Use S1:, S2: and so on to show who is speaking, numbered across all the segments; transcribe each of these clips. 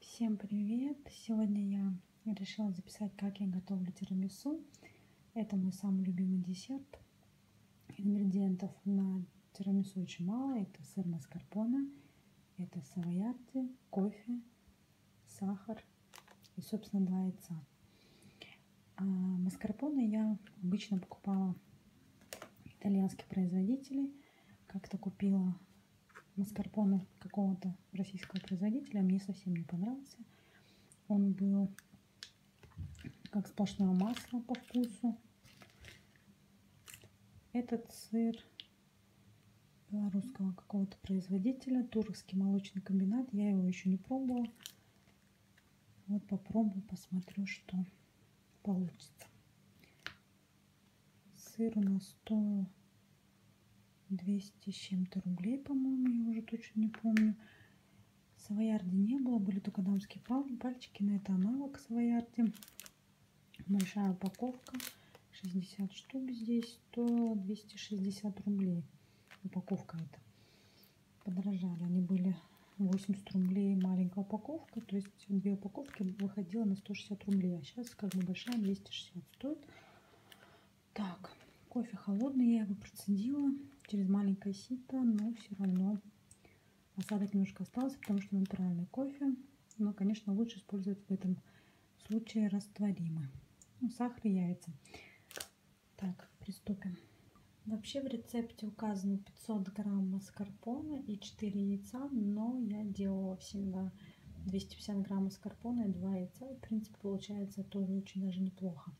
S1: Всем привет! Сегодня я решила записать, как я готовлю тирамису. Это мой самый любимый десерт. Ингредиентов на тирамису очень мало. Это сыр маскарпоне, это савоярти, кофе, сахар и, собственно, два яйца. А маскарпоне я обычно покупала итальянских производителей. Как-то купила маскарпоне какого-то российского производителя. Мне совсем не понравился. Он был как сплошное масло по вкусу. Этот сыр белорусского какого-то производителя, Туровский молочный комбинат. Я его еще не пробовала. Вот попробую, посмотрю, что получится. Сыр у нас 100, 200 с чем-то рублей, по-моему, я уже точно не помню. Савоярди не было, были только дамские пальчики, но это аналог Савоярди. Большая упаковка, 60 штук здесь, 100, 260 рублей упаковка это. Подорожали, они были 80 рублей маленькая упаковка, то есть допустим, две упаковки выходило на 160 рублей, а сейчас как бы большая 260 стоит. Так, кофе холодный, я его процедила через маленькое сито, но все равно осадок немножко остался, потому что натуральный кофе. Но, конечно, лучше использовать в этом случае растворимый. Ну, сахар и яйца. Так, приступим. Вообще в рецепте указано 500 грамм маскарпоне и 4 яйца, но я делала всегда 250 грамм маскарпоне и 2 яйца. И, в принципе, получается тоже очень даже неплохо.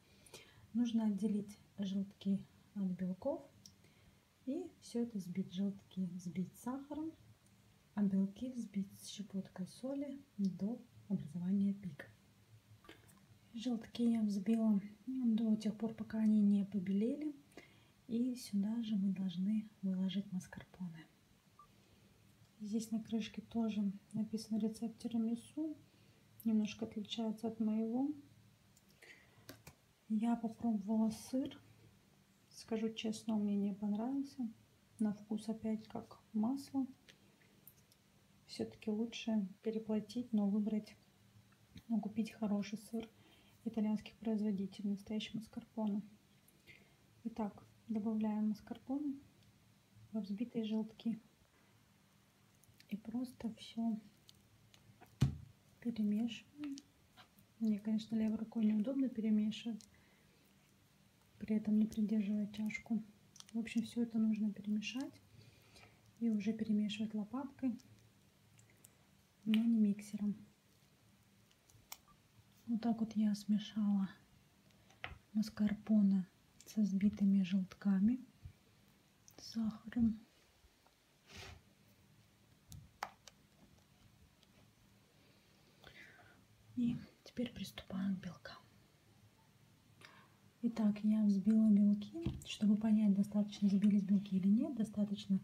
S1: Нужно отделить желтки от белков и все это сбить. Желтки сбить сахаром, а белки взбить с щепоткой соли до образования пика. Желтки я взбила до тех пор, пока они не побелели. И сюда же мы должны выложить маскарпоне. Здесь на крышке тоже написан рецепт тирамису. Немножко отличается от моего. Я попробовала сыр. Скажу честно, он мне не понравился. На вкус опять как масло. Все-таки лучше переплатить, но выбрать ну, купить хороший сыр итальянских производителей, настоящий маскарпоне. Итак, добавляем маскарпоне во взбитые желтки. И просто все перемешиваем. Мне, конечно, левой рукой неудобно перемешивать, при этом не придерживая чашку. В общем, все это нужно перемешать и уже перемешивать лопаткой но не миксером. Вот так вот я смешала маскарпоне со сбитыми желтками, с сахаром. И теперь приступаем к белкам. Итак, я взбила белки. Чтобы понять, достаточно взбились белки или нет, достаточно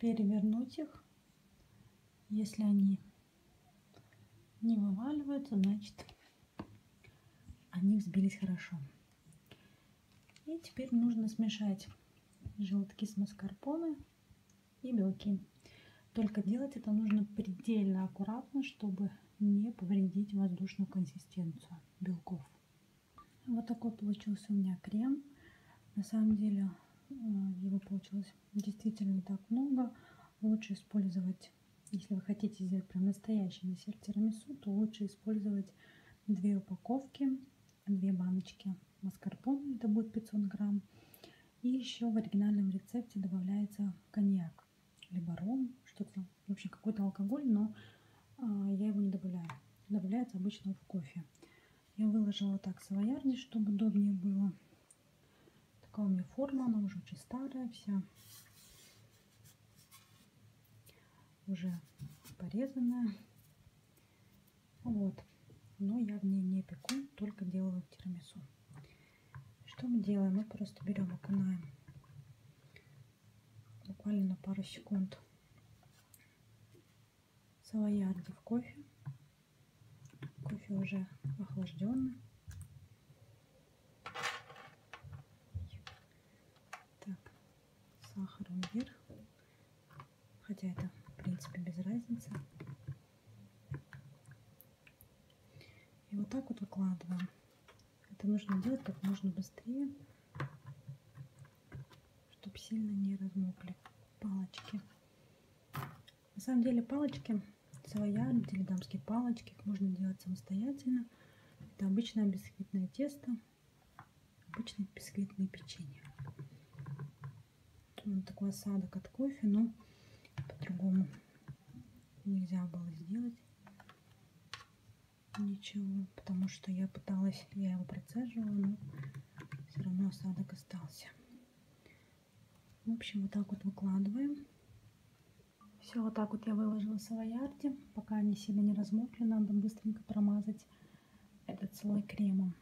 S1: перевернуть их. Если они не вываливаются, значит они взбились хорошо. И теперь нужно смешать желтки с маскарпоне и белки. Только делать это нужно предельно аккуратно, чтобы не повредить воздушную консистенцию белков. Вот такой получился у меня крем. На самом деле э, его получилось действительно не так много. Лучше использовать, если вы хотите сделать прям настоящий десерт тирамису, то лучше использовать две упаковки, две баночки маскарпоне, это будет 500 грамм. И еще в оригинальном рецепте добавляется коньяк либо ром, что-то, в общем, какой-то алкоголь, но а, я его не добавляю. Добавляется обычно в кофе. Я выложила так савоярди, чтобы удобнее было. Такая у меня форма, она уже очень старая вся. Уже порезанная. Вот. Но я в ней не пеку, только делаю тирамису. Что мы делаем? Мы просто берем, окунаем буквально на пару секунд савоярди в кофе. Кофе уже охлажденный. Так, сахаром вверх. Хотя это, в принципе, без разницы. И вот так вот выкладываем. Это нужно делать как можно быстрее, чтобы сильно не размокли палочки. На самом деле палочки своя, теледамские палочки, их можно делать самостоятельно. Это обычное бисквитное тесто, обычное бисквитное печенье. Вот такой осадок от кофе, но по-другому нельзя было сделать ничего, потому что я пыталась, я его процеживала, но все равно осадок остался. В общем, вот так вот выкладываем. Все, вот так вот я выложила савоярди. Пока они сильно не размокли, надо быстренько промазать этот слой кремом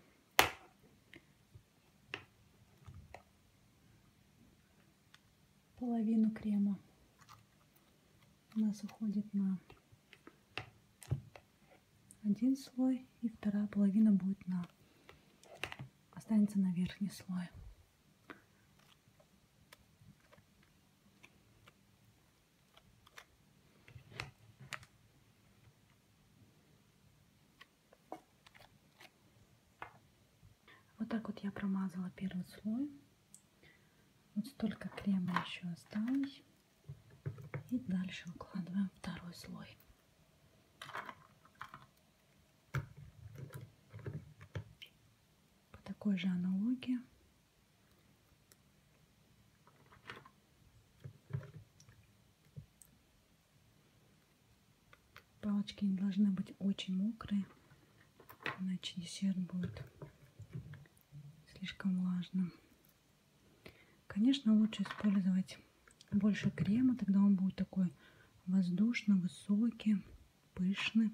S1: половину крема у нас уходит на один слой и вторая половина будет на останется на верхний слой вот так вот я промазала первый слой. Вот столько крема еще осталось. И дальше укладываем второй слой. По такой же аналогии. Палочки не должны быть очень мокрые, иначе десерт будет слишком влажным. Конечно, лучше использовать больше крема, тогда он будет такой воздушно, высокий, пышный.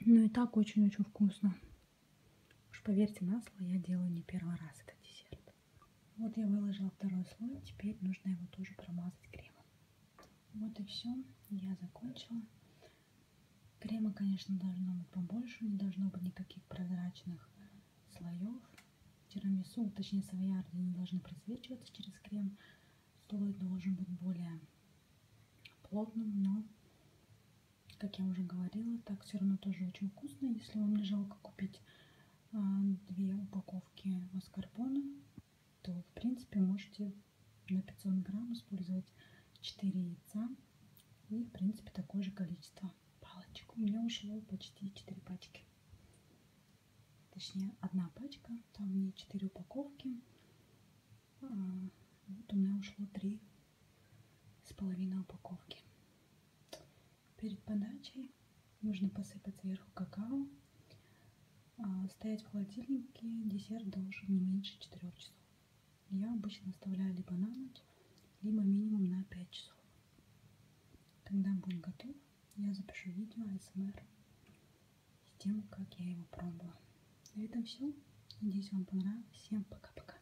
S1: Ну и так очень-очень вкусно. Уж поверьте на слово, я делаю не первый раз этот десерт. Вот я выложила второй слой, теперь нужно его тоже промазать кремом. Вот и все, я закончила. Крема, конечно, должно быть побольше, не должно быть никаких прозрачных слоев. Тирамису, точнее савоярды, не должны просвечиваться через крем. Слой должен быть более плотным, но, как я уже говорила, так все равно тоже очень вкусно. Если вам не жалко купить а, две упаковки маскарпоне, то в принципе можете на 500 грамм использовать 4 яйца и в принципе такое же количество палочек. У меня ушло почти 4 пачки. Точнее, одна пачка, там не 4 упаковки. А, вот у меня ушло 3 с половиной упаковки. Перед подачей нужно посыпать сверху какао. А, стоять в холодильнике десерт должен не меньше 4 часов. Я обычно оставляю либо на ночь, либо минимум на 5 часов. Когда будет готов, я запишу видео АСМР с тем, как я его пробовала. На этом все. Надеюсь, вам понравилось. Всем пока-пока.